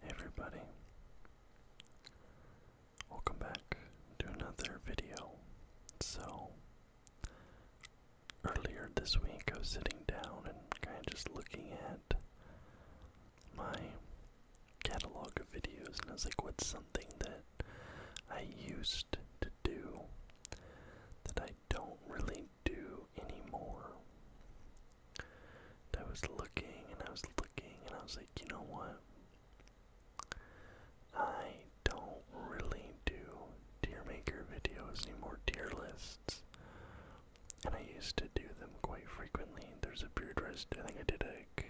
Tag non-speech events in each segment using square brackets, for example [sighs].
Hey everybody. Welcome back to another video. So, earlier this week I was sitting down and kind of just looking at my catalog of videos and I was like, what's something that I used to do that I don't really do anymore. I was looking and I was looking and I was like, you know what? I don't really do tier maker videos anymore, tier lists. And I used to do them quite frequently. There's a period where I think I did like,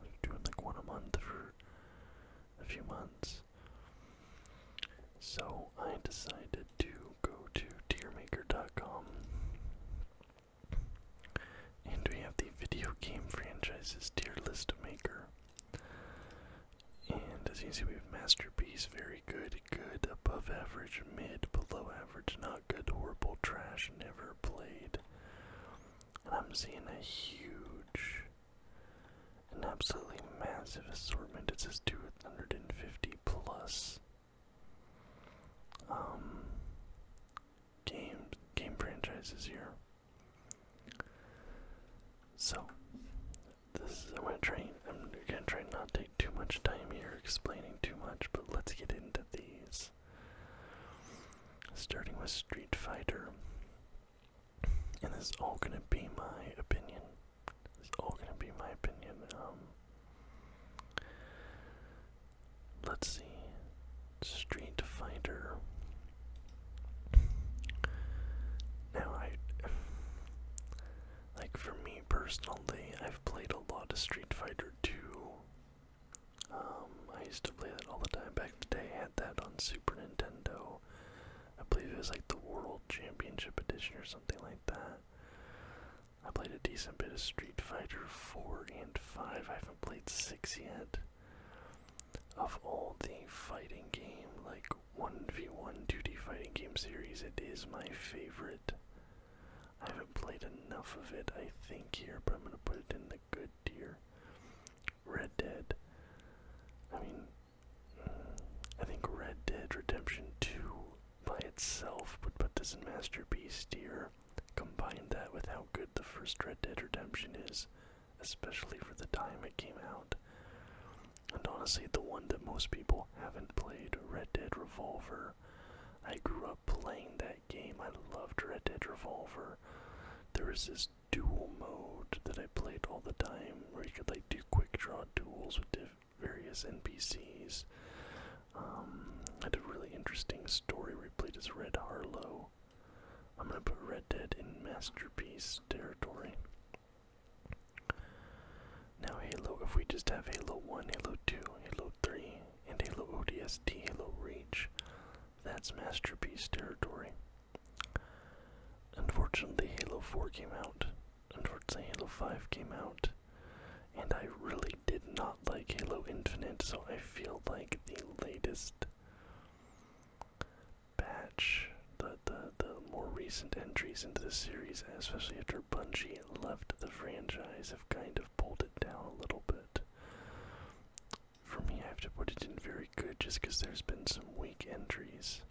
I was like one a month for a few months. So I decided to go to tiermaker.com. And we have the video game franchises tier list maker. And as you see, we have Masterpiece, very good, good, above average, mid, below average, not good, horrible, trash, never played. And I'm seeing a huge, an absolutely massive assortment. It says 250 plus um, game game franchises here. So this is I'm gonna try I'm gonna try not to take too much time here explaining too much, but let's get into these. Starting with Street Fighter. And this is all gonna be my opinion. This is all gonna be my opinion. Um Let's see. Street Fighter. Now I like for me personally, I've played a lot of Street Fighter 2. Um, I used to play that all the time back in the day. had that on Super Nintendo. I believe it was like the World Championship Edition or something like that. I played a decent bit of Street Fighter 4 and 5. I haven't played 6 yet. Of all the fighting game, like 1v1 duty fighting game series, it is my favorite. I haven't played enough of it, I think, here, but I'm going to put it in the good tier. Red Dead. I mean, mm, I think Red Dead Redemption 2 by itself but put this in masterpiece here. Combine that with how good the first Red Dead Redemption is, especially for the time it came out. And honestly, the one that most people haven't played, Red Dead Revolver. I grew up playing that game. I loved Red Dead Revolver. There was this dual mode that I played all the time where you could like do quick draw duels with different various NPCs. Um, had a really interesting story where played as Red Harlow. I'm gonna put Red Dead in Masterpiece territory. Now Halo, if we just have Halo 1, Halo 2, Halo 3, and Halo ODST, Halo Reach, that's Masterpiece territory. Unfortunately, Halo 4 came out. Unfortunately, Halo 5 came out and I really did not like Halo Infinite, so I feel like the latest batch, the, the, the more recent entries into the series, especially after Bungie left the franchise, have kind of pulled it down a little bit. For me, I have to put it in very good just because there's been some weak entries.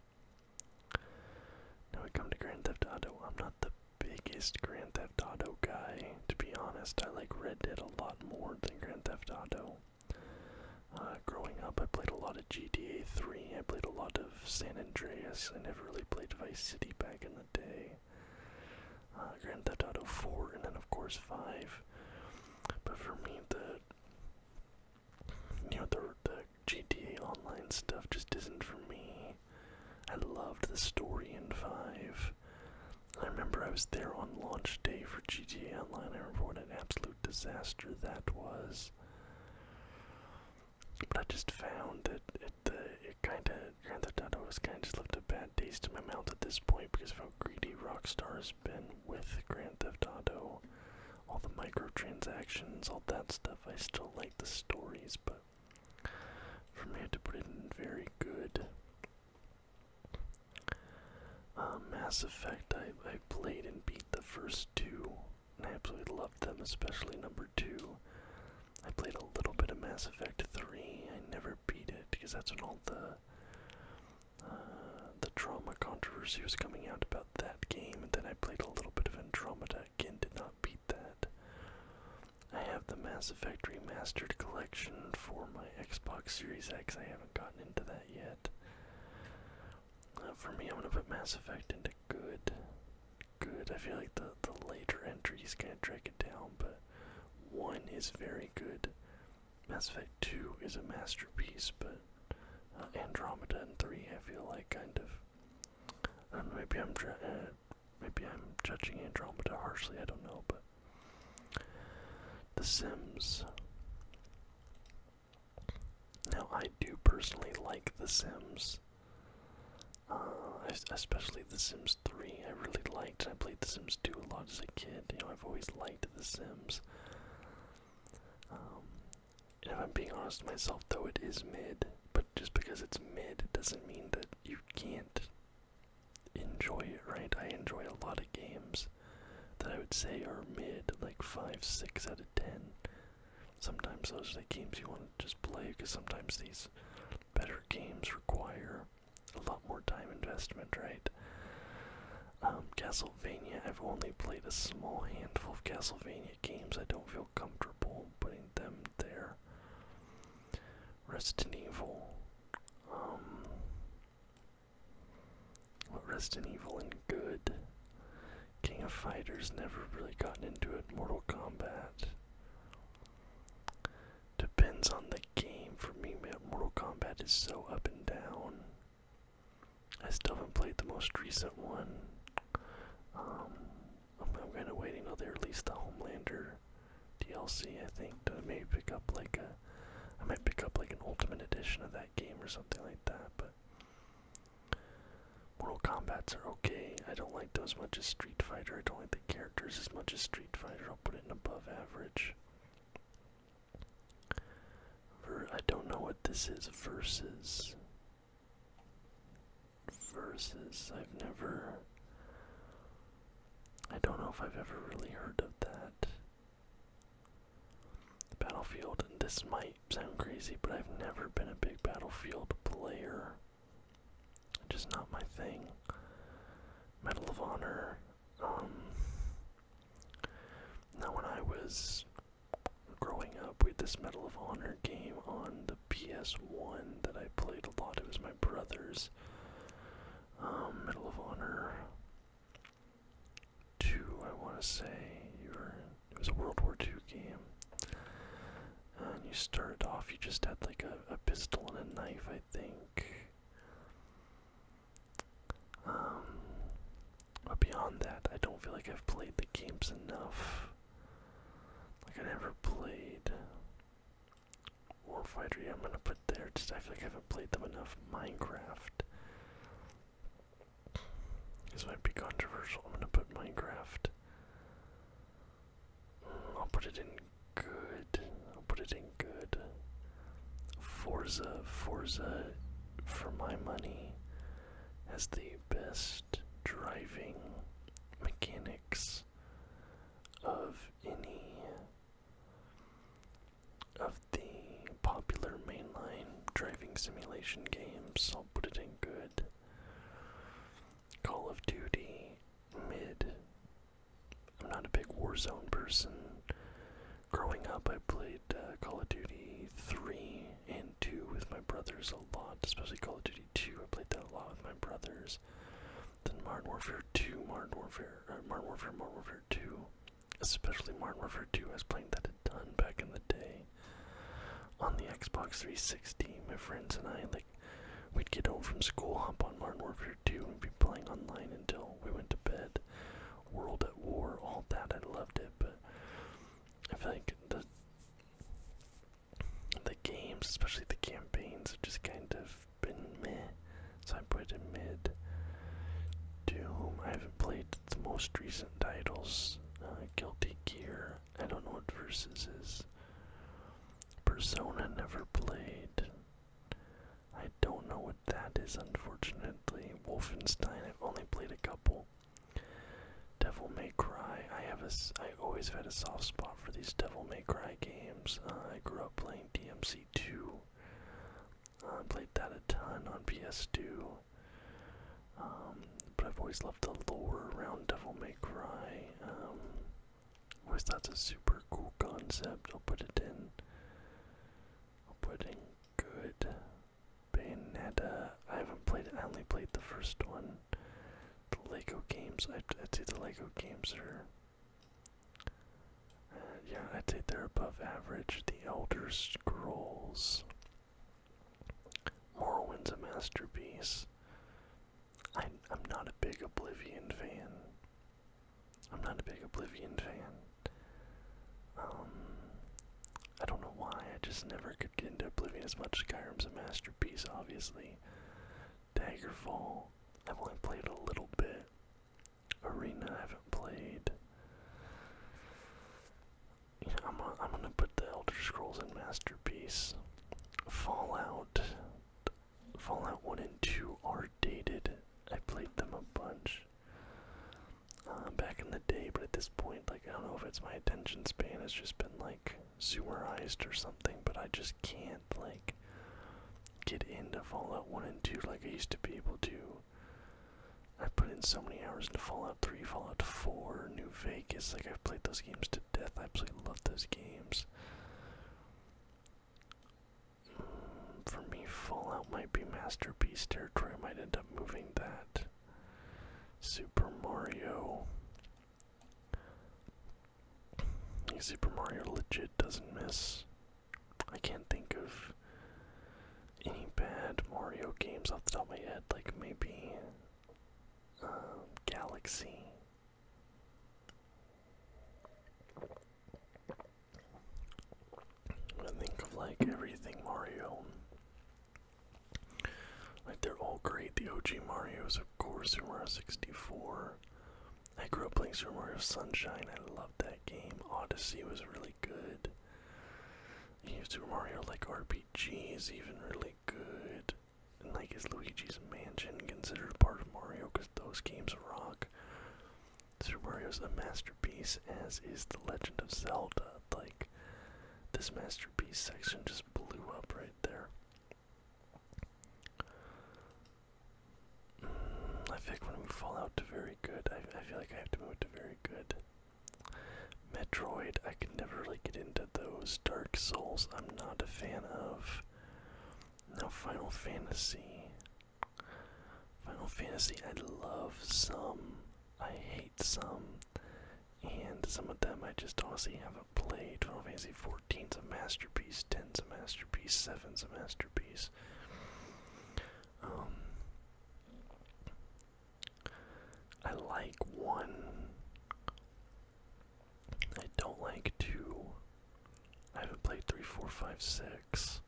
Now we come to Grand Theft Auto. I'm not the biggest Grand Theft Auto guy. To be honest, I like Red Dead a lot more than Grand Theft Auto. Uh, growing up, I played a lot of GTA 3, I played a lot of San Andreas, I never really played Vice City back in the day. Uh, Grand Theft Auto 4, and then of course 5. But for me, the you know the, the GTA Online stuff just isn't for me. I loved the story in 5. I remember I was there on launch day for GTA Online. I remember what an absolute disaster that was. But I just found that it, kind of, Grand Theft Auto was kind of just left a bad taste in my mouth at this point because of how greedy Rockstar has been with Grand Theft Auto. All the microtransactions, all that stuff. I still like the stories, but for me to put it in very good. Uh, Mass Effect, I, I played and beat the first two, and I absolutely loved them, especially number two. I played a little bit of Mass Effect 3, I never beat it, because that's when all the uh, the trauma controversy was coming out about that game, and then I played a little bit of Andromeda again did not beat that. I have the Mass Effect Remastered Collection for my Xbox Series X. I haven't gotten into that yet. Uh, for me, I'm gonna put Mass Effect into good. Good. I feel like the the later entries kind of drag it down, but one is very good. Mass Effect Two is a masterpiece, but uh, Andromeda and Three, I feel like kind of. Uh, maybe I'm uh, Maybe I'm judging Andromeda harshly, I don't know, but. The Sims. Now, I do personally like The Sims. Uh, especially The Sims 3, I really liked. I played The Sims 2 a lot as a kid. You know, I've always liked The Sims. Um, and if I'm being honest with myself, though, it is mid. But just because it's mid doesn't mean that you can't enjoy it, right? I enjoy a lot of games that I would say are mid, like 5, 6 out of 10. Sometimes those are the games you want to just play because sometimes these better games require a lot more time investment, right? Um, Castlevania, I've only played a small handful of Castlevania games. I don't feel comfortable putting them there. rest in Evil. Um, what Resident Evil and good. King of Fighters never really gotten into it. Mortal Kombat. Depends on the game for me. but Mortal Kombat is so up and down. I still haven't played the most recent one. Um, I'm, I'm kind of waiting until they release the Homelander DLC, I think, to maybe pick up like a. I might pick up like an Ultimate Edition of that game or something like that, but. Mortal Kombat's are okay. I don't like them as much as Street Fighter. I don't like the characters as much as Street Fighter. I'll put it in above average. Ver I don't know what this is versus versus. I've never. I don't know if I've ever really heard of that. Battlefield, and this might sound crazy, but I've never been a big Battlefield player. Just not my thing. Medal of Honor. Um, now, when I was growing up, we this Medal of Honor game on the. PS1 that I played a lot. It was my brother's um, Medal of Honor 2, I want to say. it was a World War Two game. And you started off, you just had like a, pistol and a knife, I think. Um, but beyond that, I don't feel like I've played the games enough. Like I never played Warfighter, I'm gonna put there just I feel like I haven't played them enough. Minecraft. This might be controversial. I'm gonna put Minecraft. Mm, I'll put it in good. I'll put it in good. Forza, Forza, for my money, has the best driving mechanics of any of the popular mainline driving simulation games. I'll put it in good. Call of Duty, mid. I'm not a big Warzone person. Growing up, I played uh, Call of Duty 3 and 2 with my brothers a lot, especially Call of Duty 2. I played that a lot with my brothers years. Modern Warfare 2, Modern Warfare, uh, Modern Warfare, Modern Warfare 2, especially Modern Warfare 2, I was playing that a ton back in the day on the Xbox 360. My friends and I, like, we'd get home from school, hop on Modern Warfare 2, and be playing online until we went to bed. World at War, all that, I loved it, but I feel like the the games, especially the campaigns, are just kind of been meh, so I put mid. Doom, I haven't played the most recent titles. Uh, Guilty Gear, I don't know what Versus is. Persona never played. I don't know what that is, unfortunately. Wolfenstein, I've only played a couple. Devil May Cry, I have a, I always have had a soft spot for these Devil May Cry games. Uh, I grew up playing DMC2. Uh, I played that a ton on PS2. Um, but I've always loved the lore around Devil May Cry. Um, always that's a super cool concept. I'll put it in. I'll put in good. Bayonetta. I haven't played I only played the first one. The Lego games. I, I'd say the Lego games are yeah, I'd say they're above average. The Elder Scrolls. Morrowind's a masterpiece. I'm, I'm not a big Oblivion fan. I'm not a big Oblivion fan. Um, I don't know why. I just never could get into Oblivion as much. Skyrim's a masterpiece, obviously. Daggerfall, I've only played a little bit. Arena, I haven't played. I'm, a, I'm gonna put the Elder Scrolls and Masterpiece. Fallout, Fallout 1 and 2 are dated. I played them a bunch uh, back in the day, but at this point, like, I don't know if it's my attention span It's just been, like, zoomerized or something, but I just can't, like, get into Fallout 1 and 2 like I used to be able to. I put in so many hours into Fallout 3, Fallout 4, New Vegas. Like, I've played those games to death. I absolutely love those games. Mm, for me, Fallout might be Masterpiece territory. I might end up moving that. Super Mario. Super Mario legit doesn't miss. I can't think of any bad Mario games off the top of my head, like maybe uh, Galaxy. I think of like everything Mario. Like they're all great. The OG Mario's, of course, Super Mario 64, I grew up playing Super Mario Sunshine. I loved that game. Odyssey was really good. Super Mario like RPG is even really good. And like is Luigi's Mansion considered part of Mario because those games rock. Super Mario's a masterpiece, as is The Legend of Zelda. Like, this masterpiece section just blew up right there. I think when we fall out to very good, I, I feel like I have to move to very good. Metroid, I can never really get into those. Dark Souls, I'm not a fan of. Now, Final Fantasy. Final Fantasy, I love some. I hate some. And some of them I just honestly haven't played. Twelve Final C Four. 14's a masterpiece, 10's a masterpiece, 7's a masterpiece. Um, I like 1. I don't like 2. I haven't played 3, 4, 5, 6.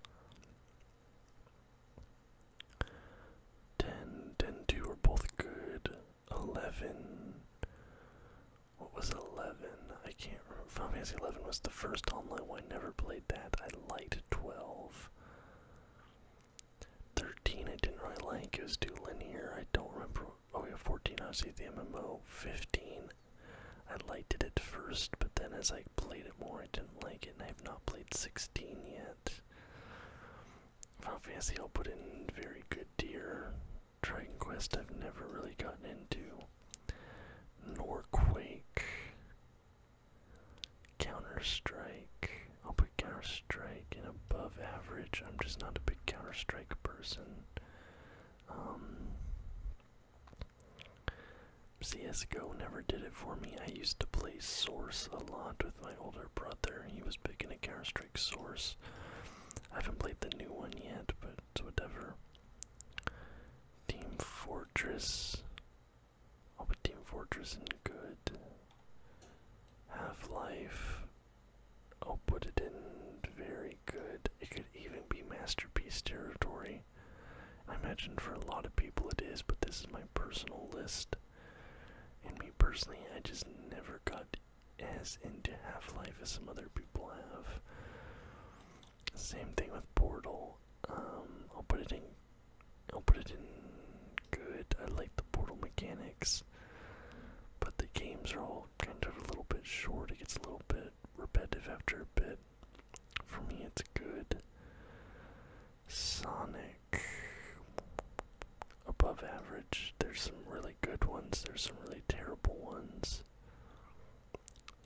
10, 10, 2 are both good. 11. What was 11? I can't remember. Final Fantasy 11 was the first online one. I never played that. I liked 12. 13 I didn't really like. It was too linear. I don't remember. Oh yeah, 14 i obviously the MMO. 15 I liked it at first, but then as I played it more, I didn't like it, and I have not played 16 yet. Final Fantasy I'll put in very good tier. Dragon Quest I've never really gotten into. Norquake. Counter Strike. I'll put Counter Strike in above average. I'm just not a big Counter Strike person. Um, CSGO never did it for me. I used to play Source a lot with my older brother. He was picking a Counter Strike Source. I haven't played the new one yet, but whatever. Team Fortress. I'll put Team Fortress in good. Half Life. I'll put it in very good. It could even be Masterpiece territory. I imagine for a lot of people it is, but this is my personal list. And me personally, I just never got as into Half Life as some other people have. Same thing with Portal. Um, I'll put it in. I'll put it in good. I like the Portal mechanics, but the games are all kind of a little bit short. It gets a little bit repetitive after a bit. For me, it's good. Sonic, above average. There's some really good ones. There's some really terrible ones.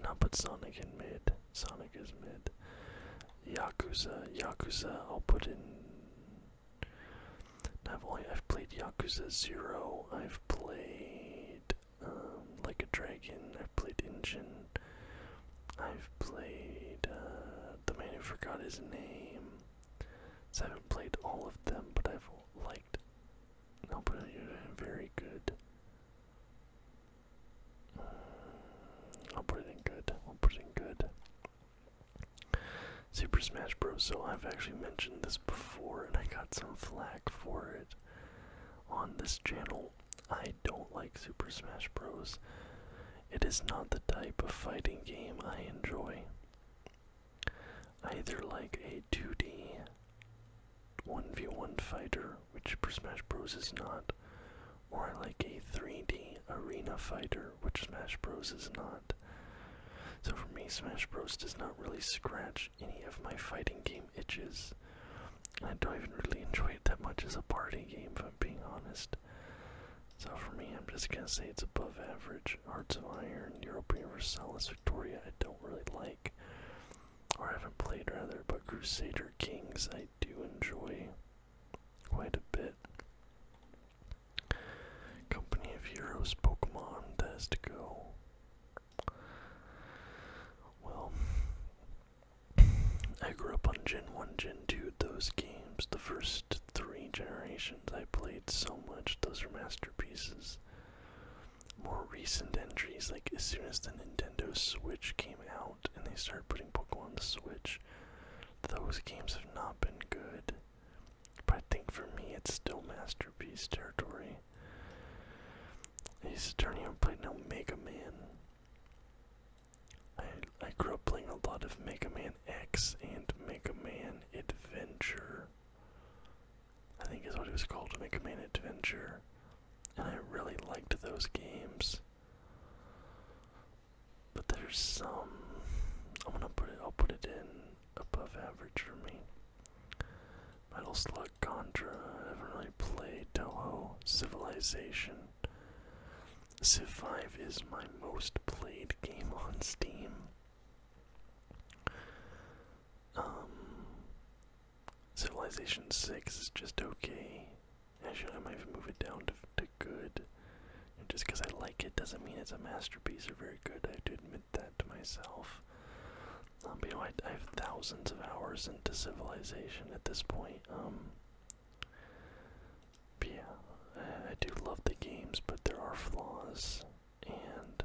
Not put Sonic in mid. Sonic is mid. Yakuza, Yakuza, I'll put in. I've only I've played Yakuza Zero. I've played um, Like a Dragon. I've played Engine. I've played uh, the man who forgot his name. So I haven't played all of them, but I've liked. I'll put it in very good. I'll put it in good. I'll put it in good. Super Smash Bros. So I've actually mentioned this before and I got some flack for it on this channel. I don't like Super Smash Bros. It is not the type of fighting game I enjoy. I either like a 2D 1v1 fighter, which Smash Bros. is not, or I like a 3D arena fighter, which Smash Bros. is not. So for me, Smash Bros. does not really scratch any of my fighting game itches. I don't even really enjoy it that much as a party game, if I'm being honest. So for me, I'm just gonna say it's above average. Hearts of Iron, Europa Universalis, Victoria, I don't really like or I haven't played rather, but Crusader Kings I do enjoy quite a bit. Company of Heroes Pokemon that to go. Well, I grew up on Gen 1, Gen 2, those games. The first three generations I played so much, those are masterpieces more recent entries, like as soon as the Nintendo Switch came out and they started putting Pokemon Switch, those games have not been good. But I think for me, it's still masterpiece territory. He's used to turn even play now Mega Man. I I grew up playing a lot of Mega Man X and Mega Man Adventure. I think is what it was called, Make a Man Adventure and I really liked those games. But there's some I'm gonna put it I'll put it in above average for me. Metal Slug Contra, I haven't really played Toho Civilization. Civ 5 is my most played game on Steam. Um, Civilization 6 is just okay. Actually, I might move it down to, to good. just because I like it doesn't mean it's a masterpiece or very good. I have to admit that to myself. Um, you know, I, have thousands of hours into Civilization at this point. Um, but yeah, I, I do love the games, but there are flaws. And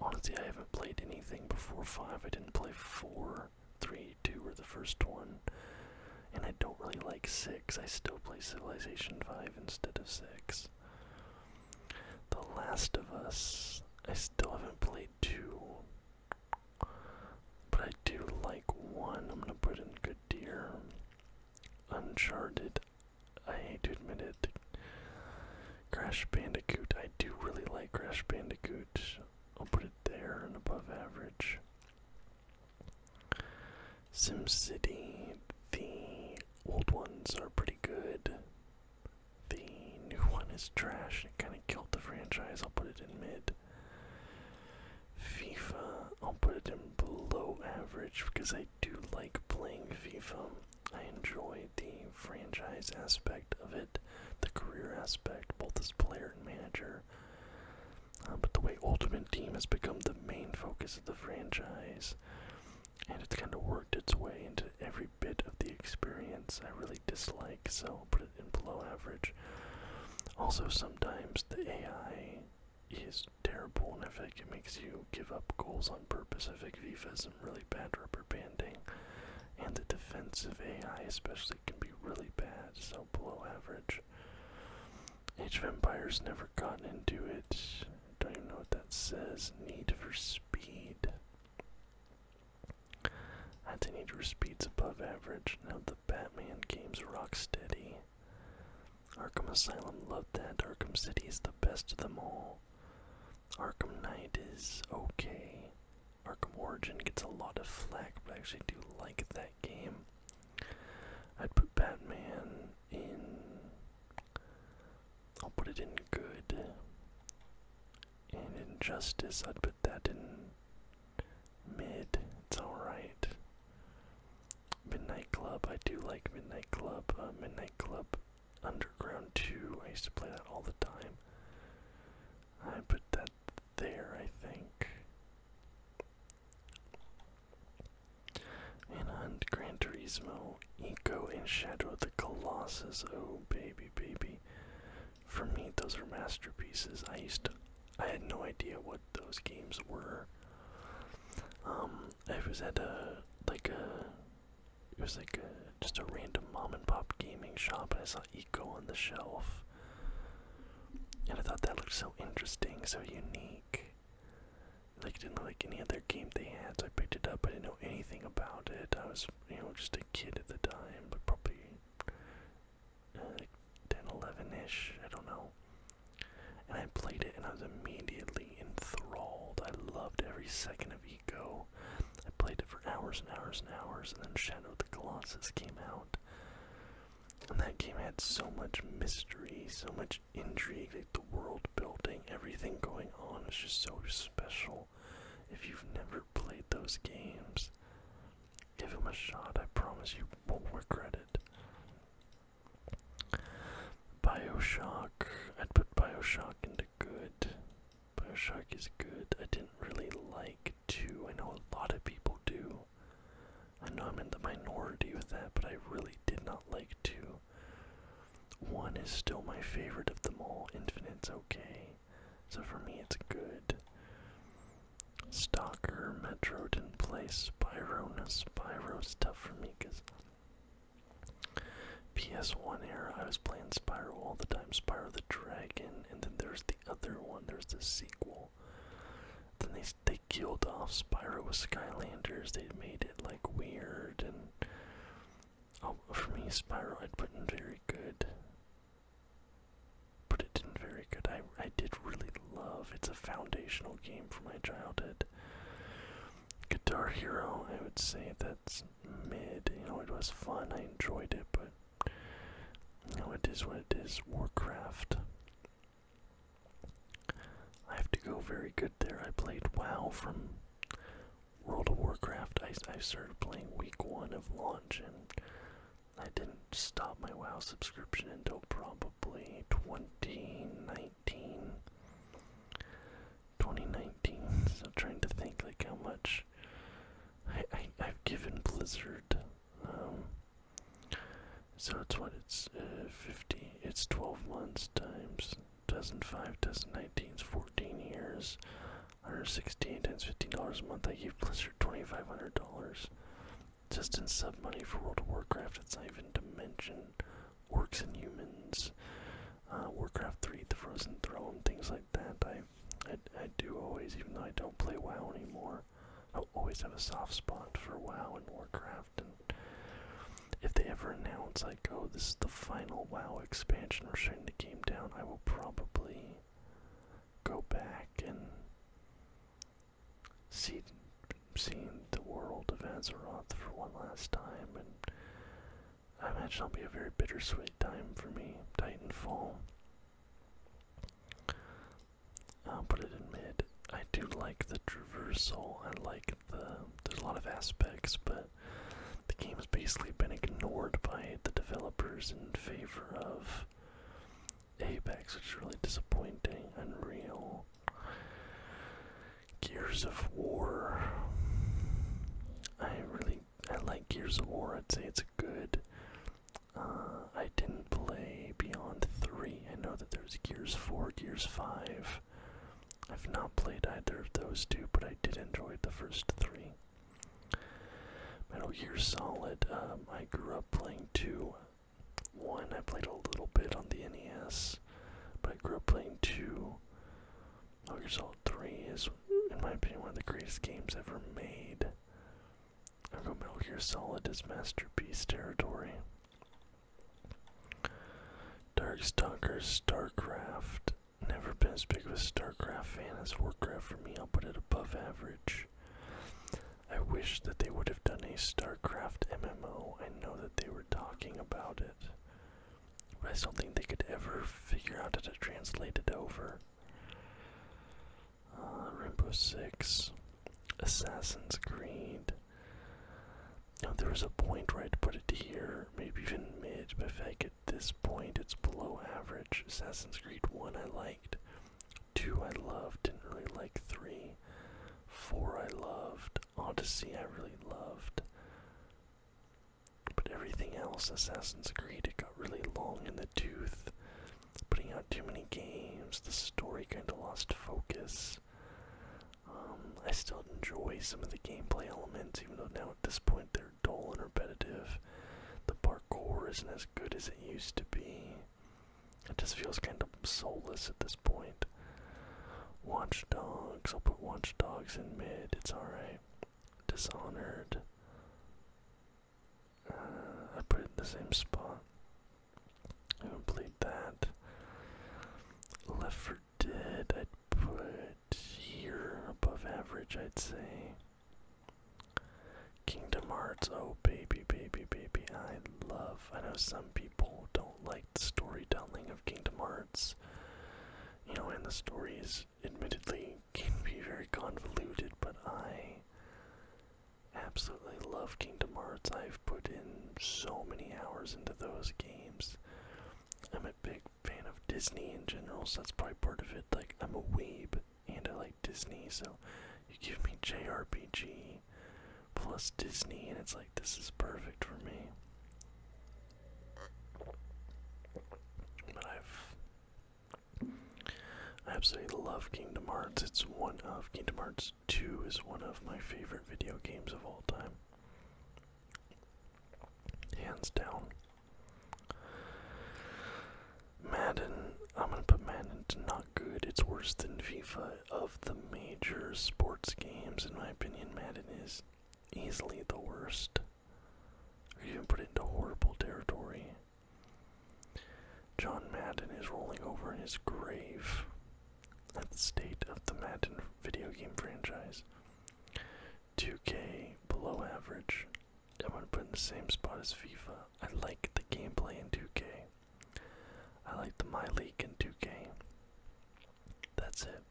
honestly, I haven't played anything before 5. I didn't play 4. Three, two were the first one, and I don't really like 6. I still play Civilization 5 instead of 6. The Last of Us, I still haven't played 2, but I do like 1. I'm gonna put in Good Deer. Uncharted, I hate to admit it. Crash Bandicoot, I do really like Crash Bandicoot. I'll put it there and above average. SimCity, the old ones are pretty good. The new one is trash. It kind of killed the franchise. I'll put it in mid. FIFA, I'll put it in below average because I do like playing FIFA. I enjoy the franchise aspect of it the career aspect, both as player and manager. Uh, but the way Ultimate Team has become the main focus of the franchise, and it's kind of worked its way into every bit of the experience I really dislike, so I'll put it in below average. Also, sometimes the AI is terrible, and I think it makes you give up goals on purpose. I think FIFA has some really bad rubber banding, and the defensive AI, especially actually can be really bad, so below average. Age of Empires never gotten into it. Don't even know what that says. Need for Speed. I'd say Need for Speed's above average. Now the Batman games rock steady. Arkham Asylum loved that. Arkham City is the best of them all. Arkham Knight is okay. Arkham Origin gets a lot of flack, but I actually do like that game. I'd put Batman in. I'll put it in good. And Injustice, I'd put that in mid. It's alright. Midnight Club, I do like Midnight Club. Uh, Midnight Club Underground 2, I used to play that all the time. I put that there, I think. And on Gran Turismo, Eco and Shadow of the Colossus. Oh, baby, baby. For me, those are masterpieces. I used to, I had no idea what those games were. Um, I was at a, like a, it was like just a random mom and pop gaming shop, and I saw go on the shelf. And I thought that looked so interesting, so unique. Like it didn't look like any other game they had, so I picked it up. I didn't know anything about it. I was, you know, just a kid at the time, but probably uh, 10, 11-ish, I don't know. And I played it, and I was immediately enthralled. I loved every second of Ego. I played it for hours and hours and hours, and then Shadow of the Colossus came out. And that game had so much mystery, so much intrigue, like the world building, everything going on its just so special. If you've never played those games, give them a shot. I promise you won't regret it. Bioshock. I'd put Bioshock into good. Shark is good. I didn't really like 2. I know a lot of people do. I know I'm in the minority with that, but I really did not like 2. 1 is still my favorite of them all. Infinite's okay. So for me, it's good. Stalker, Metroid, did Place. play. Spyro, no Spyro's tough for me because PS1 era, I was playing Spyro all the time. Spyro the Dragon, and then there's the other one. there's the sequel. Then they they killed off Spyro with Skylanders. They made it like weird and. Oh, for me, Spyro I'd put in very good. Put it in very good. I I did really love. It's a foundational game for my childhood. Guitar Hero, I would say that's mid. You know, it was fun. I enjoyed it, but Oh, it is what it is. Warcraft. I have to go very good there. I played WoW from World of Warcraft. I, I started playing week one of launch, and I didn't stop my WoW subscription until probably 2019. 2019. So I'm trying to think like how much I I've given Blizzard um, so it's what it's uh, 15, it's 12 months times 2005, 2019 is 14 years. 168 times $15 a month, I gave Blizzard $2,500 just in sub money for World of Warcraft. It's even dimension, mention orcs and humans, uh, Warcraft 3, The Frozen Throne, things like that. I, I, do always, even though I don't play WoW anymore, I always have a soft spot for WoW and Warcraft. And if they ever announce like, oh, this is the final WoW expansion, we're shutting the game down, I will probably go back and see seeing the world of Azeroth for one last time and I imagine it'll be a very bittersweet time for me. Titanfall I'll uh, put it in mid. I do like the traversal. I like the. There's a lot of aspects, but the game has basically been ignored by the developers in favor of Apex, which is really disappointing. Unreal. Gears of War. I really. I like Gears of War. I'd say it's good uh, I didn't play Beyond 3. I know that there's Gears 4, Gears 5. I've not played either of those two, but I did enjoy the first three. Metal Gear Solid, um, I grew up playing 2. 1 I played a little bit on the NES, but I grew up playing 2. Metal Gear Solid 3 is, in my opinion, one of the greatest games ever made. I'll go Metal Gear Solid is masterpiece territory. Darkstalkers, Starcraft. Never been as big of a Starcraft fan as Warcraft for me. I'll put it above average. I wish that they would have done a Starcraft MMO. I know that they were talking about it. But I just don't think they could ever figure out how to translate it over uh, Rainbow Six, Assassin's Creed. Now there is a point where I'd put it here, maybe even mid, but if I get this point, it's below average. Assassin's Creed 1 I liked, 2 I loved, didn't really like 3, 4 I loved, Odyssey I really loved. But everything else, Assassin's Creed, it got really long in the tooth putting out too many games. The story kind of lost focus. Um, I still enjoy some of the gameplay elements, even though now at this point they're dull and repetitive. The parkour isn't as good as it used to be. It just feels kind of soulless at this point. Watch Dogs, I'll put Watch Dogs in mid, it's alright. Dishonored. Uh, I put it in the same spot. I would play that. Left for Dead, I'd put here above average, I'd say. Kingdom Hearts, oh baby, baby, baby, I love. I know some people don't like the storytelling of Kingdom Hearts. You know, and the stories, admittedly, can be very convoluted, but I absolutely love Kingdom Hearts. I've put in so many hours into those games. I'm a big fan of Disney in general, so that's probably part of it. Like, I'm a weeb and I like Disney, so you give me JRPG plus Disney, and it's like, this is perfect for me. But I've I absolutely love Kingdom Hearts. It's one of Kingdom Hearts 2 is one of my favorite video games of all time. Hands down. Madden, I'm gonna put Madden to not good. It's worse than FIFA of the major sports games, in my opinion. Madden is easily the worst. Or even put into horrible territory. John Madden is rolling over in his grave at the state of the Madden video game franchise. 2K below average. I'm put in the same spot as FIFA. I like the gameplay in 2K. I like the My League in 2K. That's it.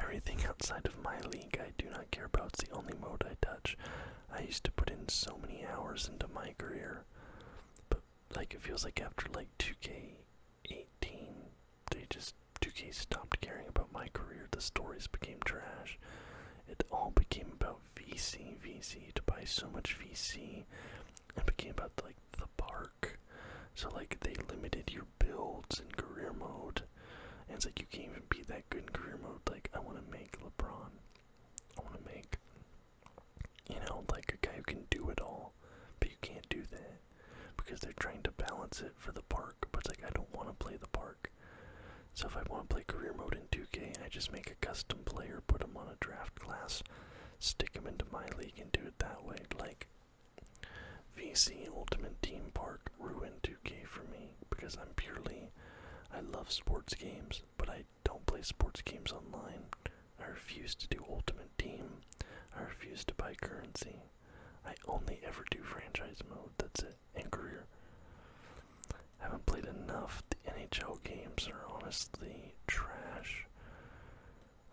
Everything [laughs] outside of My League I do not care about. It's the only mode I touch. I used to put in so many hours into my career but like it feels like after like 2K18, they just 2K stopped caring about my career. The stories became trash. It all became about VC, VC to buy so much VC. It became about like the park. So like they limited your builds in career mode. And it's like you can't even be that good in career mode. Like I want to make LeBron. I want to make you know, like a guy who can do it all, but you can't do that because they're trying to balance it for the park. But it's like, I don't want to play the park. So if I want to play career mode in 2K, I just make a custom player, put him on a draft class, stick him into my league, and do it that way. Like, VC Ultimate Team Park ruined 2K for me because I'm purely. I love sports games, but I don't play sports games online. I refuse to do Ultimate Team. I refuse to buy currency. I only ever do franchise mode, that's it, and career. haven't played enough. The NHL games are honestly trash.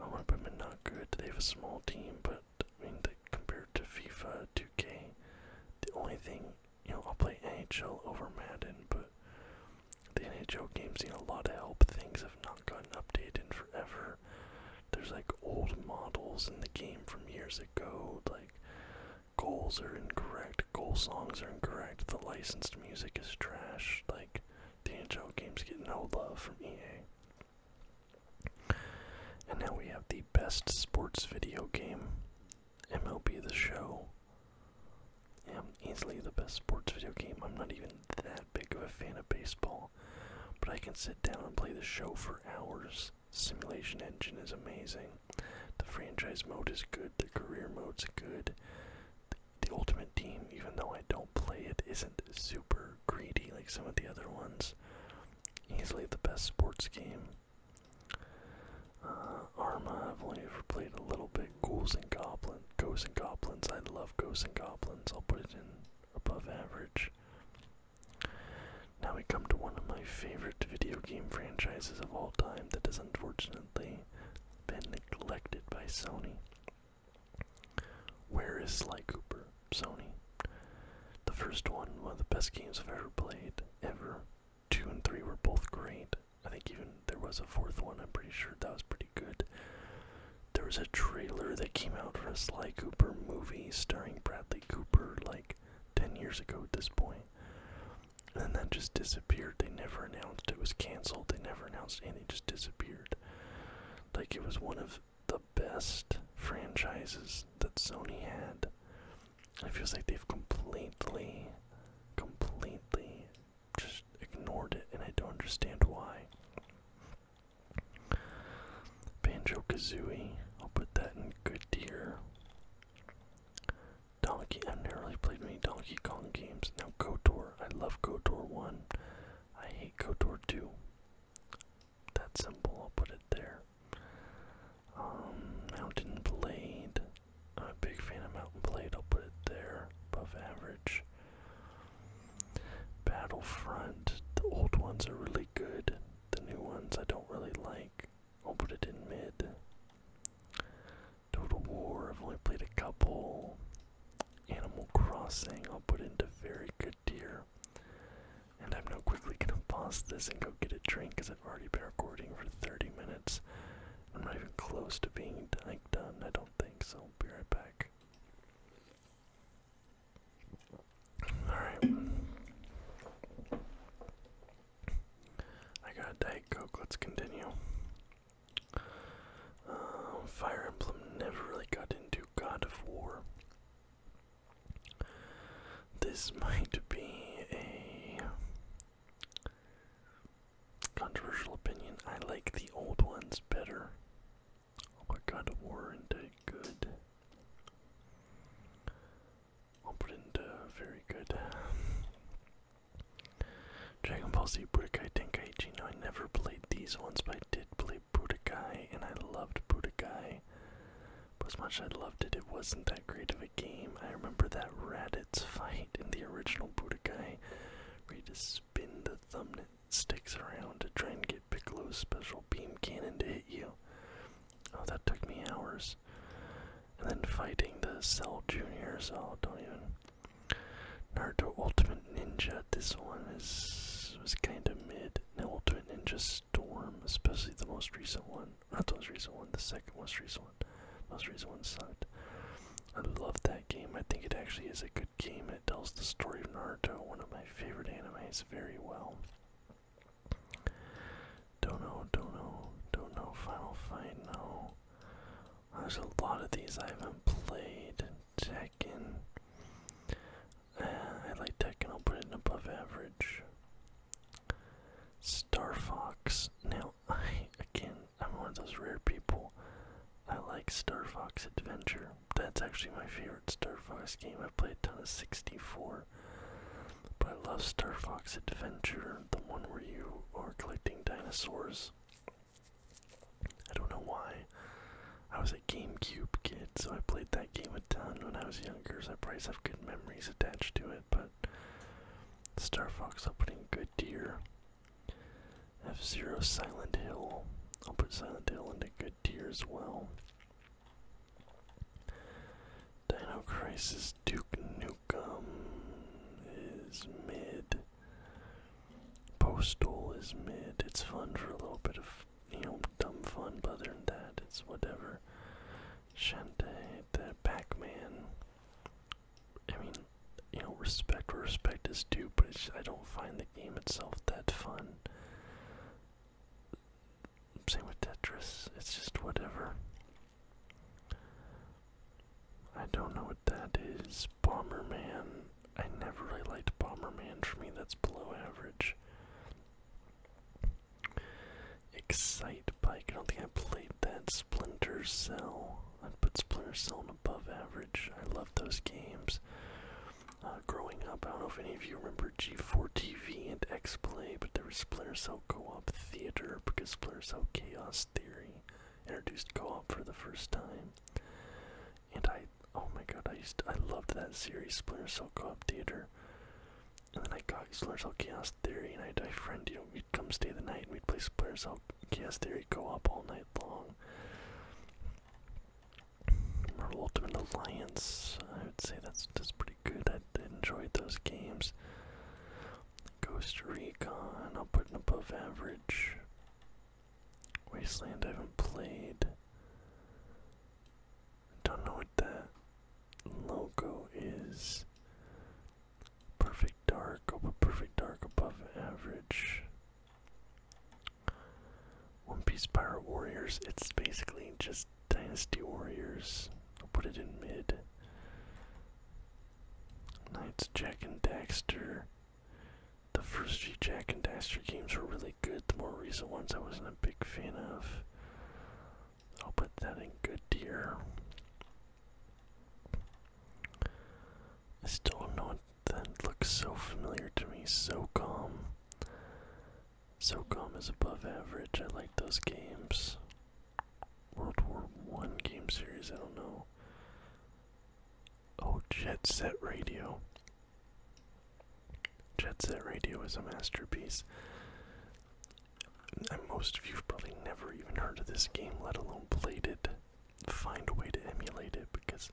I want to put them not good. They have a small team, but I mean, compared to FIFA 2K, the only thing you know, I'll play NHL over Madden, but the NHL game's need a lot of help. Things have not gotten updated in forever. There's like old models in the game from years ago. Like goals are incorrect, goal songs are incorrect, the licensed music is trash. Like the NHL games get no love from EA. And now we have the best sports video game, MLB The Show. Yeah, easily the best sports video game. I'm not even that big of a fan of baseball, but I can sit down and play the show for hours. Simulation engine is amazing. The franchise mode is good. The career mode's good. The, the ultimate team, even though I don't play it, isn't super greedy like some of the other ones. Easily the best sports game. Uh, Arma, I've only ever played a little bit. Ghouls and Goblins. Ghosts and Goblins. I love Ghosts and Goblins. I'll put it in above average. Now we come to one of my favorite video game franchises of all time that has unfortunately been neglected by Sony. Where is Sly Cooper? Sony. The first one, one of the best games I've ever played, ever two and three were both great. I think even there was a fourth one, I'm pretty sure that was pretty good. There was a trailer that came out for a Sly Cooper movie starring Bradley Cooper like 10 years ago at this And that just disappeared. They never announced it was canceled. They never announced anything, it just disappeared. Like it was one of the best franchises that Sony had. It feels like they've completely, completely just ignored it, and I don't understand why. Banjo Kazooie, I'll put that in good tier. Donkey, I've never really played many Donkey Kong games. Now KOTOR, I love KOTOR 1. I hate KOTOR 2. That simple. I'll put it there. Um, Mountain Blade, I'm a big fan of Mountain Blade, I'll put it there, above average. Battlefront, the old ones are really good, the new ones I don't really like, I'll put it in mid. Total War, I've only played a couple. Animal Crossing, I'll put into very good tier. And I'm now quickly gonna pause this and go get a drink because I've already been recording for 30 minutes. I'm not even close to being like done. I don't think so. I'll be right back. All right. I got a Diet Coke. Let's continue. Uh, Fire Emblem never really got into God of War. This might be a Controversial opinion, I like the old ones better. Oh, I got a war into good. I'll put into uh, very good. Dragon Ball Z Budokai Tenkaichi. No, I never played these ones, but I did play Budokai, and I loved Budokai. as much as I loved it, it wasn't that great of a game. I remember that Raditz fight in the original Budokai ready to spin the thumbnail sticks around to try and get Piccolo's special beam cannon to hit you. Oh, that took me hours. And then fighting the Cell Junior, so oh, don't even. Naruto Ultimate Ninja. This one is was kind of mid. Now Ultimate Ninja Storm, especially the most recent one. Not the most recent one, the second most recent most recent one sucked. I love that game. I think it actually is a good game. It tells the story of Naruto, one of my favorite animes, very well. Don't know, Final Fight, no. There's a lot of these I haven't played. Tekken. Uh, I like Tekken. I'll put it above average. Star Fox. Now I [sighs] again, I'm one of those rare people. I like Star Fox Adventure. That's actually my favorite Star Fox game. I played a ton of 64. But I love Star Fox Adventure, the one where you are collecting dinosaurs. I don't know why. I was a GameCube kid, so I played that game a ton when I was younger, so I probably have good memories attached to it, but Star Fox I'm good Goodyear F Zero Silent Hill. I'll put Silent Hill into good tier as well. Dino Crisis Duke Nukem is mid. Postal is mid. It's fun for a little bit of you know dumb fun, but other than that, it's whatever. Shantae, the Pac-Man, I mean, you know, respect respect is due, but I don't find the game itself that fun. Same with Tetris, it's just whatever. I don't know what that is. Bomberman, I never really liked Bomberman. For me, that's below average. Excite Bike, I don't think I played that Splinter Cell. I'd put Splinter Cell above average. I love those games. Uh, growing up, I don't know if any of you remember G4 TV and X Play, but there was Splinter Cell Co op Theater because Splinter Cell Chaos Theory introduced co op for the first time. And I, oh my god, I used I loved that series, Splinter Cell Co op Theater. And then I got Splinter Cell Chaos Theory, and I had a friend, you know, we'd come stay the night and we'd play Splinter Cell about Chaos Theory Co-op all night long. Ultimate Alliance, I would say that's just pretty good. I enjoyed those games. Ghost Recon, I'll put it above average. Wasteland, I haven't played. I don't know what the logo is. Perfect Dark, I'll Perfect Dark above average. One Piece Pirate Warriors, it's basically just Dynasty Warriors. I'll put it in mid. Knights, Jack and Daxter. The first G Jack and Daxter games were really good. The more recent ones I wasn't a big fan of. I'll put that in good tier. still not that looks so familiar to me. So calm. So calm is above average. I like those games. World War One game series. I don't know. Oh, Jet Set Radio. Jet Set Radio is a masterpiece. And most of you have probably never even heard of this game, let alone played it find a way to emulate it because,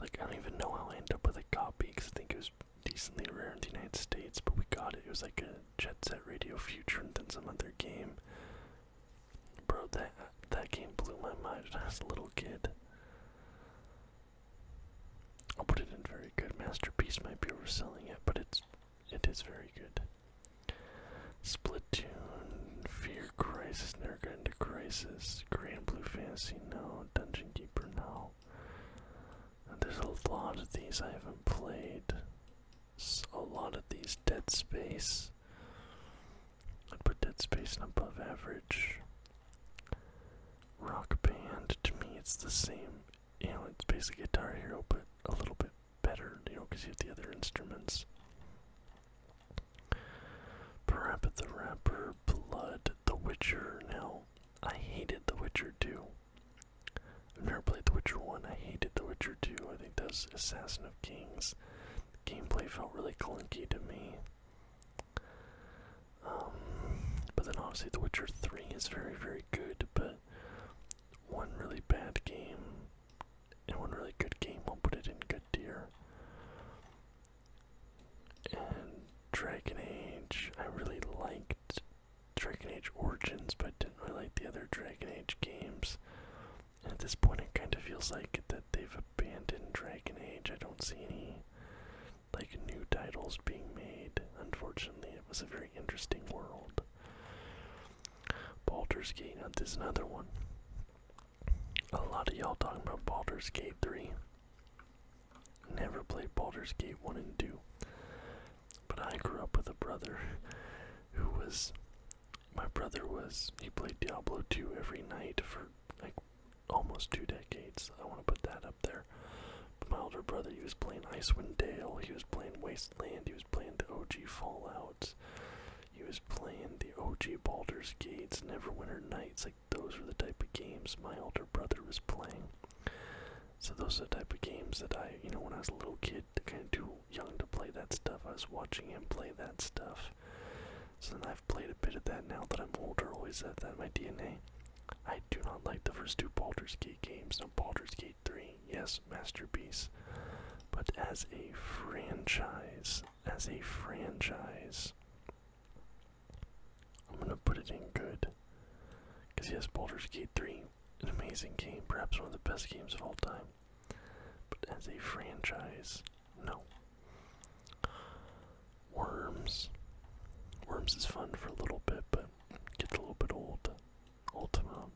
like, I don't even know how I end up with a copy because I think it was decently rare in the United States, but we got it. It was like a Jet Set Radio Future and then some other game. Bro, that that game blew my mind as a little kid. I'll put it in very good. Masterpiece might be overselling it, but it's it is very good. Splatoon, Fear Crisis, never got into Crisis, Grand Blue Fantasy, no, Dungeon Keeper, no. There's a lot of these I haven't played. A lot of these Dead Space. I'd put Dead Space in above average. Rock Band, to me it's the same. You know, it's basically Guitar Hero, but a little bit better, you know, because you have the other instruments. Parappa the Rapper, Blood, The Witcher. Now, I hated The Witcher 2. I've never played The Witcher 1. I hated The Witcher 2. I think that's Assassin of Kings. gameplay felt really clunky to me. Um, but then obviously The Witcher 3 is very, very good, but one really bad game in one really good game, we'll put it in good tier. And Dragon Age, I really liked Dragon Age Origins, but didn't really like the other Dragon Age games. And at this point, it kind of feels like that they've abandoned Dragon Age. I don't see any like new titles being made. Unfortunately, it was a very interesting world. Baldur's Gate, this is another one. A lot of y'all talking about Baldur's Gate 3. Never played Baldur's Gate 1 and 2. But I grew up with a brother who was. My brother was. He played Diablo 2 every night for like almost two decades. I want to put that up there. But my older brother, he was playing Icewind Dale, he was playing Wasteland, he was playing the OG Fallout. He was playing the OG Baldur's Gates, Neverwinter Nights, like those were the type of games my older brother was playing. So those are the type of games that I, you know, when I was a little kid, kind of too young to play that stuff. I was watching him play that stuff. So then I've played a bit of that now that I'm older, always have that in my DNA. I do not like the first two Baldur's Gate games, no Baldur's Gate 3, yes, masterpiece. But as a franchise, as a franchise. I'm gonna put it in good. Because yes, Boulder's Gate 3, an amazing game, perhaps one of the best games of all time. But as a franchise, no. Worms. Worms is fun for a little bit, but gets a little bit old. Ultima.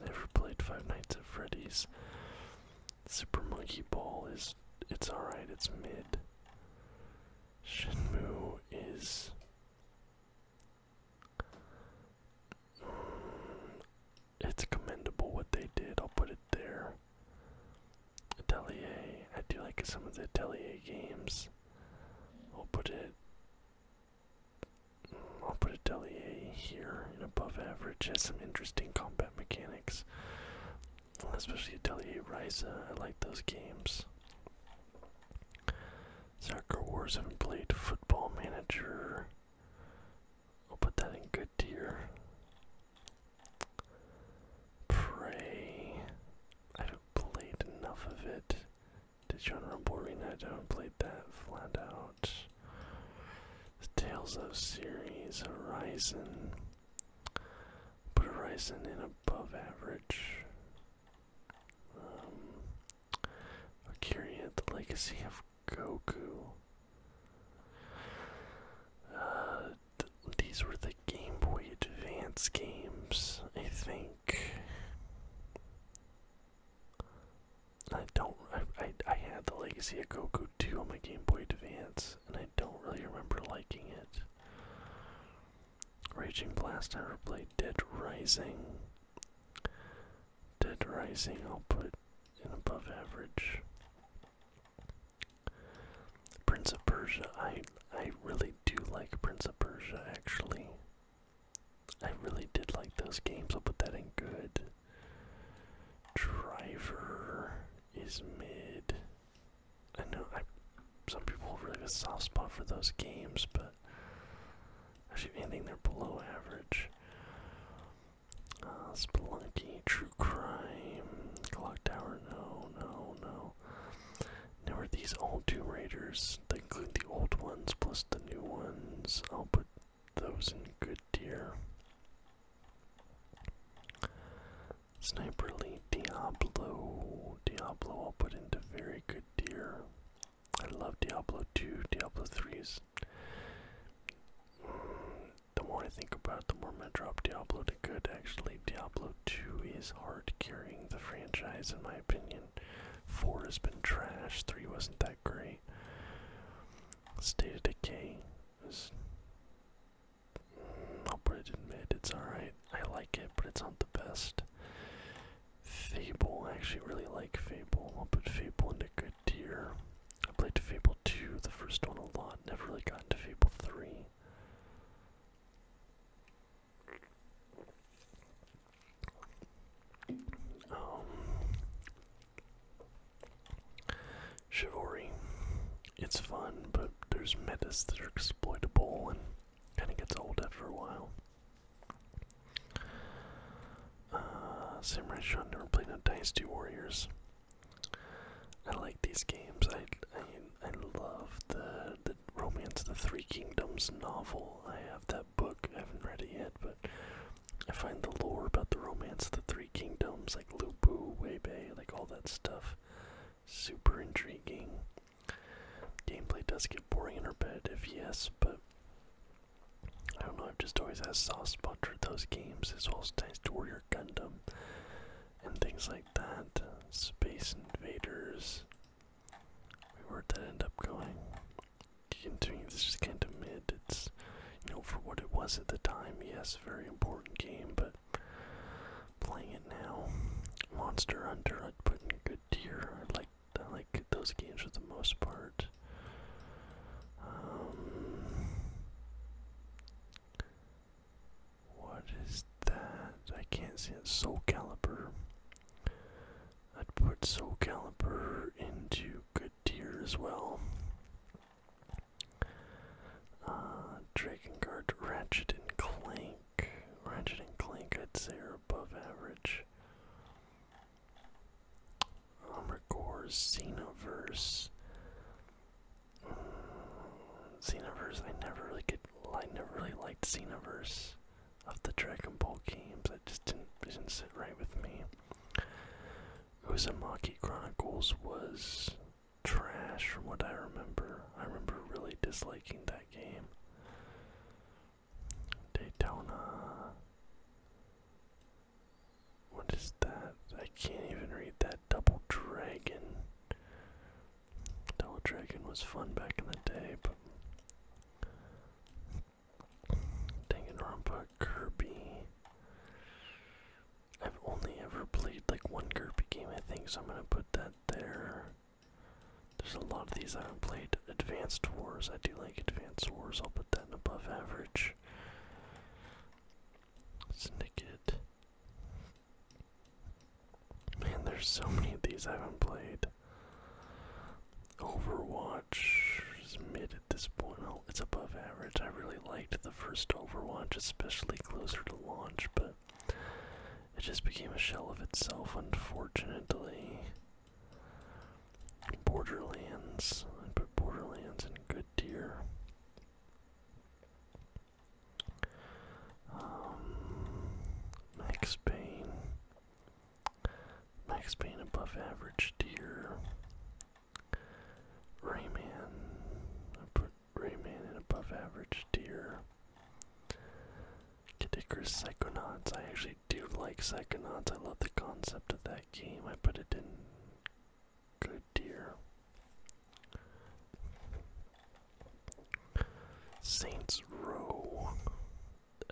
Never played Five Nights at Freddy's. Super Monkey Ball is it's alright, it's mid. Shenmue is mm, it's commendable what they did, I'll put it there. Atelier, I do like some of the Delia games. I'll put it mm, I'll put Delia here and above average has some interesting combat mechanics, especially Atelier Ryza. I like those games. Soccer Wars. Haven't played Football Manager. I'll put that in good tier. Prey. I haven't played enough of it. want to run boring? I haven't played that flat out. Tales of Series Horizon. Put Horizon in above average. Um, Akira, The Legacy of Goku. Uh, these were the Game Boy Advance games, I think. I don't. I, I, I had the Legacy of Goku 2 on my Game Boy Advance and I don't really remember liking it. Raging Blast, I played Dead Rising. Dead Rising, I'll put in above average. Prince of Persia, I I really do like Prince of Persia actually. I really did like those games. I'll put that in good. Driver is mid. I know I some people really have a soft spot for those games, but actually anything they're below average. Uh, Spelunky, True Crime, Clock Tower, no, no, no. Now are these all Doom Raiders, they include the old ones plus the new ones. I'll put those in good tier. Sniper Elite Diablo. Diablo I'll put into very good tier. I love Diablo 2, Diablo 3s. Mm, the more I think about the more I drop Diablo to good. Actually, Diablo 2 is hard carrying the franchise in my opinion. 4 has been trash, 3 wasn't that great. State of Decay is I'll put it in mid. It's alright. I like it, but it's not the best. Fable. I actually really like Fable. I'll put Fable into good tier. I played Fable 2, the first one, a lot. Never really got into Fable 3. Um, Chivalry. It's fun, but there's methods that are exploitable and kinda gets old after a while. Uh, Samurai Shodown never played no Dynasty Warriors. I like these games. I I, I love the the Romance of the Three Kingdoms novel. I have that book. I haven't read it yet, but I find the lore about the Romance of the Three Kingdoms, like Lupu, Weibei, like all that stuff. Super intriguing. Gameplay does get boring in her bed, if yes, but I don't know, I've just always had soft spot for those games, as well as Dynasty Warrior Gundam and things like that. Space Invaders. where did that end up going? Continuing, this is kind of mid. It's, you know, for what it was at the time, yes, very important game, but playing it now. Monster Hunter I'd put good tier. I like I like those games for the most part. Um, what is that? I can't see Soul Calibur. I'd put Soul Calibur into good Deer as well. Uh, Dragon Guard, Ratchet and Clank. Ratchet and Clank, I'd say, are above average. Armorcore, Xenoverse. Mm, Xenoverse, I never really get, I never really liked Xenoverse of the Dragon Ball games. It just didn't, didn't sit right with me. Uzumaki Chronicles was trash from what I remember. I remember really disliking that game. Daytona. What is that? I can't even read that. Double Dragon. Double Dragon was fun back in the day, but. Danganronpa, Kirby. I've only ever played like one Kirby game, I think, so I'm gonna put that there. There's a lot of these I haven't played. Advanced Wars, I do like Advanced Wars, I'll put that in above average. Syndicate. Man, there's so many of these I haven't played. Overwatch is mid at this point. it's above average. I really really liked the first Overwatch, especially closer to launch, but it just became a shell of itself, unfortunately. Borderlands. I put Borderlands in good deer. Um, Max Payne. Max Payne above average deer. Rayman remain an above average tier. Kidicrous Psychonauts. I actually do like Psychonauts. I love the concept of that game. I put it in good tier. Saints Row.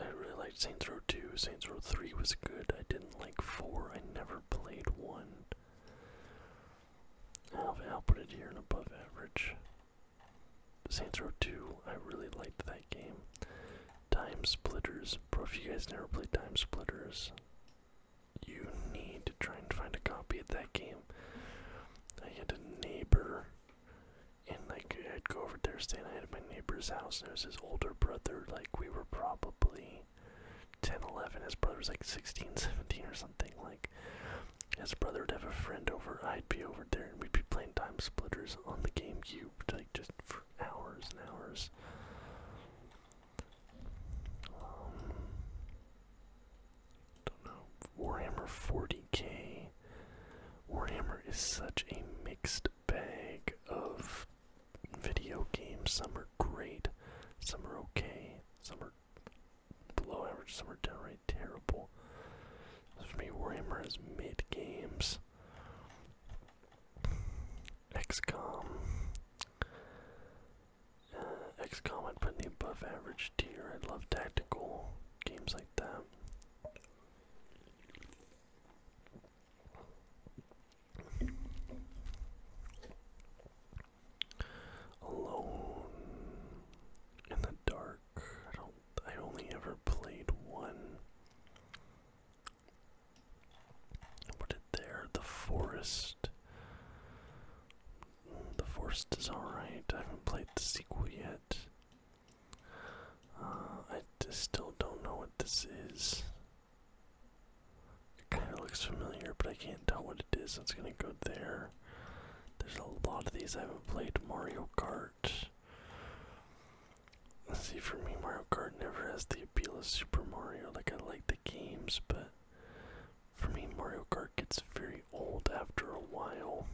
I really liked Saints Row 2. Saints Row 3 was good. I didn't like 4. I never played 1. I'll, put it here in above average. Saints Row 2, I really liked that game. Time Splitters, bro, if you guys never played Time Splitters, you need to try and find a copy of that game. I had a neighbor, and like I'd go over there staying at my neighbor's house, and there was his older brother, like we were probably 10, 11, his brother was like 16, 17 or something, like like his brother would have a friend over, I'd be over there and we'd be playing Time Splitters on the GameCube, like just for hours and hours. Um, don't know. Warhammer 40k. Warhammer is such a mixed bag of video games. Some are great, some are okay, some are below average, some are downright terrible. For me, Warhammer is mid games. XCOM. Uh, XCOM, I'd put in the above average tier. I love tactical games like that. Alone in the dark. I don't. I only ever played one. Put it there. The forest. The forest is alright. I haven't played the sequel yet. Uh, I still don't know what this is. It kind of looks familiar, but I can't tell what it is. It's gonna go there. There's a lot of these I haven't played. Mario Kart. See, for me, Mario Kart never has the appeal of Super Mario. Like, I like the games, but for me, Mario Kart gets very old after a while.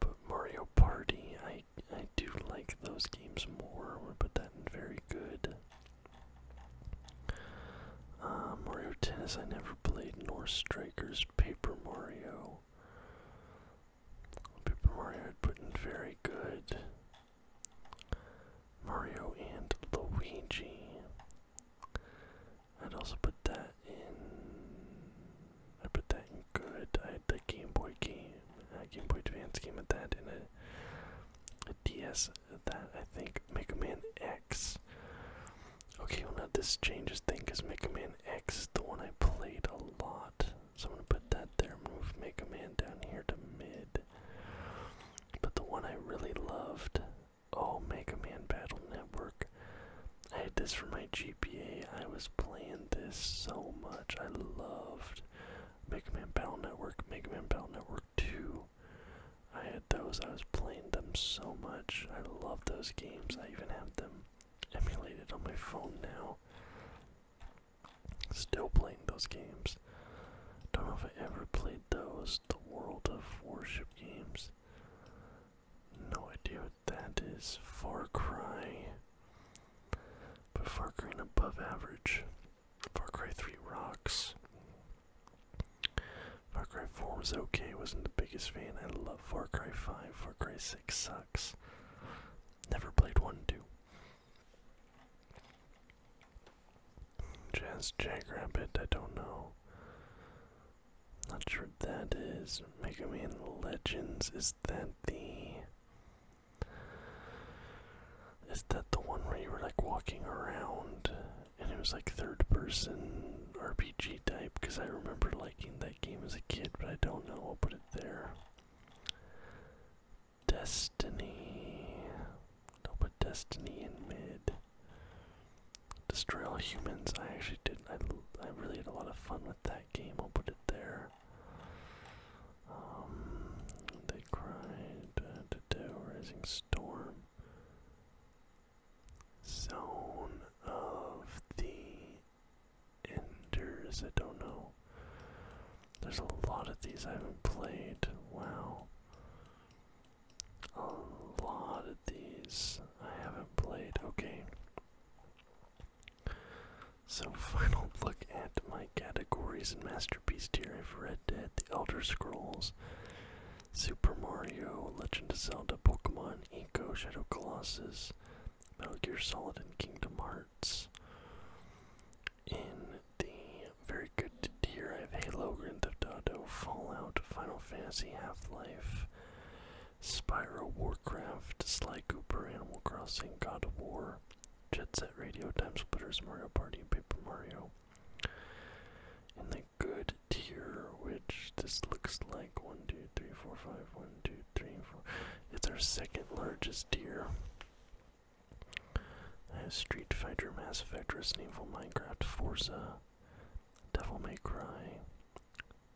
But Mario Party, I I do like those games more. but am going very good. Uh, Mario Tennis I never played, nor Strikers, Paper Mario. Paper Mario had put in very good. Mario and Luigi. I'd also put that in. I put that in good. I had the Game Boy game, uh, Game Boy Advance game at that, in a DS that I think Mega Man X. Okay, well now this changes thing because Mega Man X the one I played a lot. So I'm gonna put that there, move Mega Man down here to mid. But the one I really loved, oh Mega Man Battle Network. I had this for my GPA. I was playing this so much. I loved Mega Man Battle Network. Mega Man Battle Network 2. I had those, I was playing them so much. I love those games. I even have them emulated on my phone now. Still playing those games. Don't know if I ever played those, the World of Worship games. No idea what that is. Far Cry. But Far Cry above average. Far Cry 3 rocks. Far Cry 4 was okay, wasn't the biggest fan. I love Far Cry 5. Far Cry 6 sucks. Never played 1 2. Jazz Jackrabbit, I don't know. Not sure what that is. Mega Man Legends, is that the. Is that the one where you were like walking around and it was like third person RPG type because I remember liking that game as a kid, but I don't know. I'll put it there. Destiny. I'll put Destiny in mid. Destroy all humans. I actually did I, I really had a lot of fun with that game. I'll put it there. Um, they cried. to do Rising Storm. Zone of the Enders. I don't know. There's a lot of these I haven't played. Wow. A lot of these I haven't played. Okay. So, [laughs] final look at my categories and Masterpiece tier. I've read Dead, The Elder Scrolls, Super Mario, Legend of Zelda, Pokemon, Eco, Shadow Colossus, Metal Gear Solid, and Kingdom Hearts. In the very good tier, I have Halo, Grand Theft Auto, Fallout, Final Fantasy, Half Life, Spiral, Warcraft, Sly Cooper, Animal Crossing, God of War, Jet Set Radio, Time Splitters, Mario Party, and Paper Mario. In the good tier, which this looks like one, two, three, four, five, one, two, three, four. It's our second largest tier. I have Street Fighter, Mass Effect, Resident Evil, Minecraft, Forza, Devil May Cry,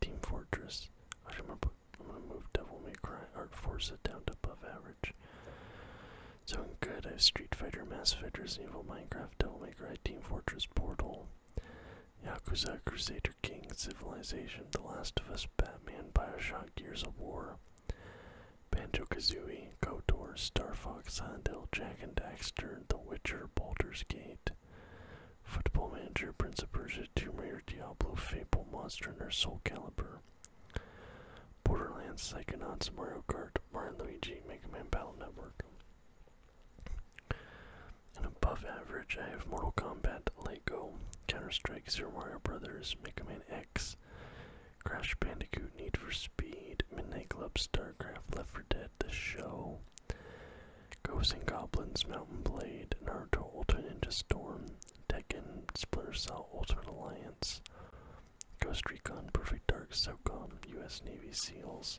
Team Fortress. I'm gonna, move Devil May Cry, Art Forza down to above average. So I'm good, I have Street Fighter, Mass Effect, Resident Evil, Minecraft, Devil May Cry, Team Fortress, Portal, Yakuza, Crusader King, Civilization, The Last of Us, Batman, Bioshock, Gears of War, Banjo Kazooie, Kotor, Star Fox, Silent Jack and Daxter, The Witcher, Baldur's Gate, Football Manager, Prince of Persia, Tomb Raider, Diablo, Fable, Monster Hunter, Soul Calibur, Borderlands, Psychonauts, Mario Kart, Mario Luigi, Mega Man Battle Network. And above average, I have Mortal Kombat, Lego, Counter Strike, Zero Mario Brothers, Mega Man X, Crash Bandicoot, Need for Speed, Midnight Club, StarCraft, Left 4 Dead, The Show, Ghosts and Goblins, Mountain Blade, Naruto, Ultimate Ninja Storm, Tekken, Splinter Cell, Ultimate Alliance, Ghost Recon, Perfect Dark, SOCOM, U.S. Navy SEALs,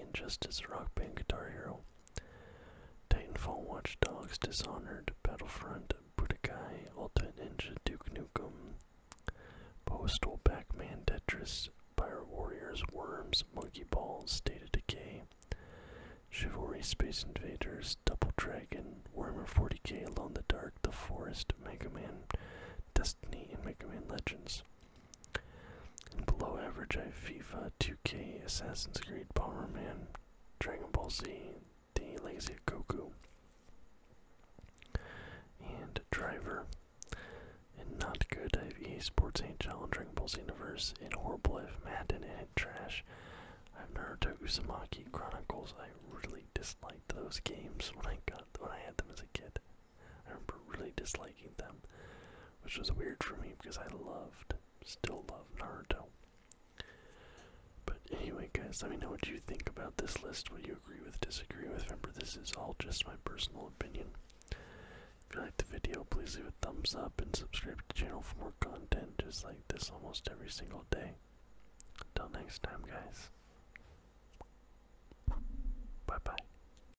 identity just as rock band guitar hero. Titanfall, Watch Dogs, Dishonored, Battlefront, Budokai, Ultimate Ninja, Duke Nukem, Postal, Pac-Man, Tetris, Pyro Warriors, Worms, Monkey Balls, State of Decay, Chivalry, Space Invaders, Double Dragon, Warhammer 40k, Alone in the Dark, The Forest, Mega Man, Destiny, and Mega Man Legends. Below average I have FIFA, 2K, Assassin's Creed, Bomberman, Dragon Ball Z, The Legacy of Goku, and Driver. And not good, I have EA Sports HL and Dragon Ball Z Universe, and Horrible, I have Madden and Trash. I have never Naruto Uzumaki Chronicles. I really disliked those games when I got when I had them as a kid. I remember really disliking them, which was weird for me because I loved, still love Naruto. But anyway, guys, let me know what you think about this list. Will you agree with, disagree with. Remember, this is all just my personal opinion. If you like the video, please leave a thumbs up and subscribe to the channel for more content just like this almost every single day. Until next time, guys. Bye bye.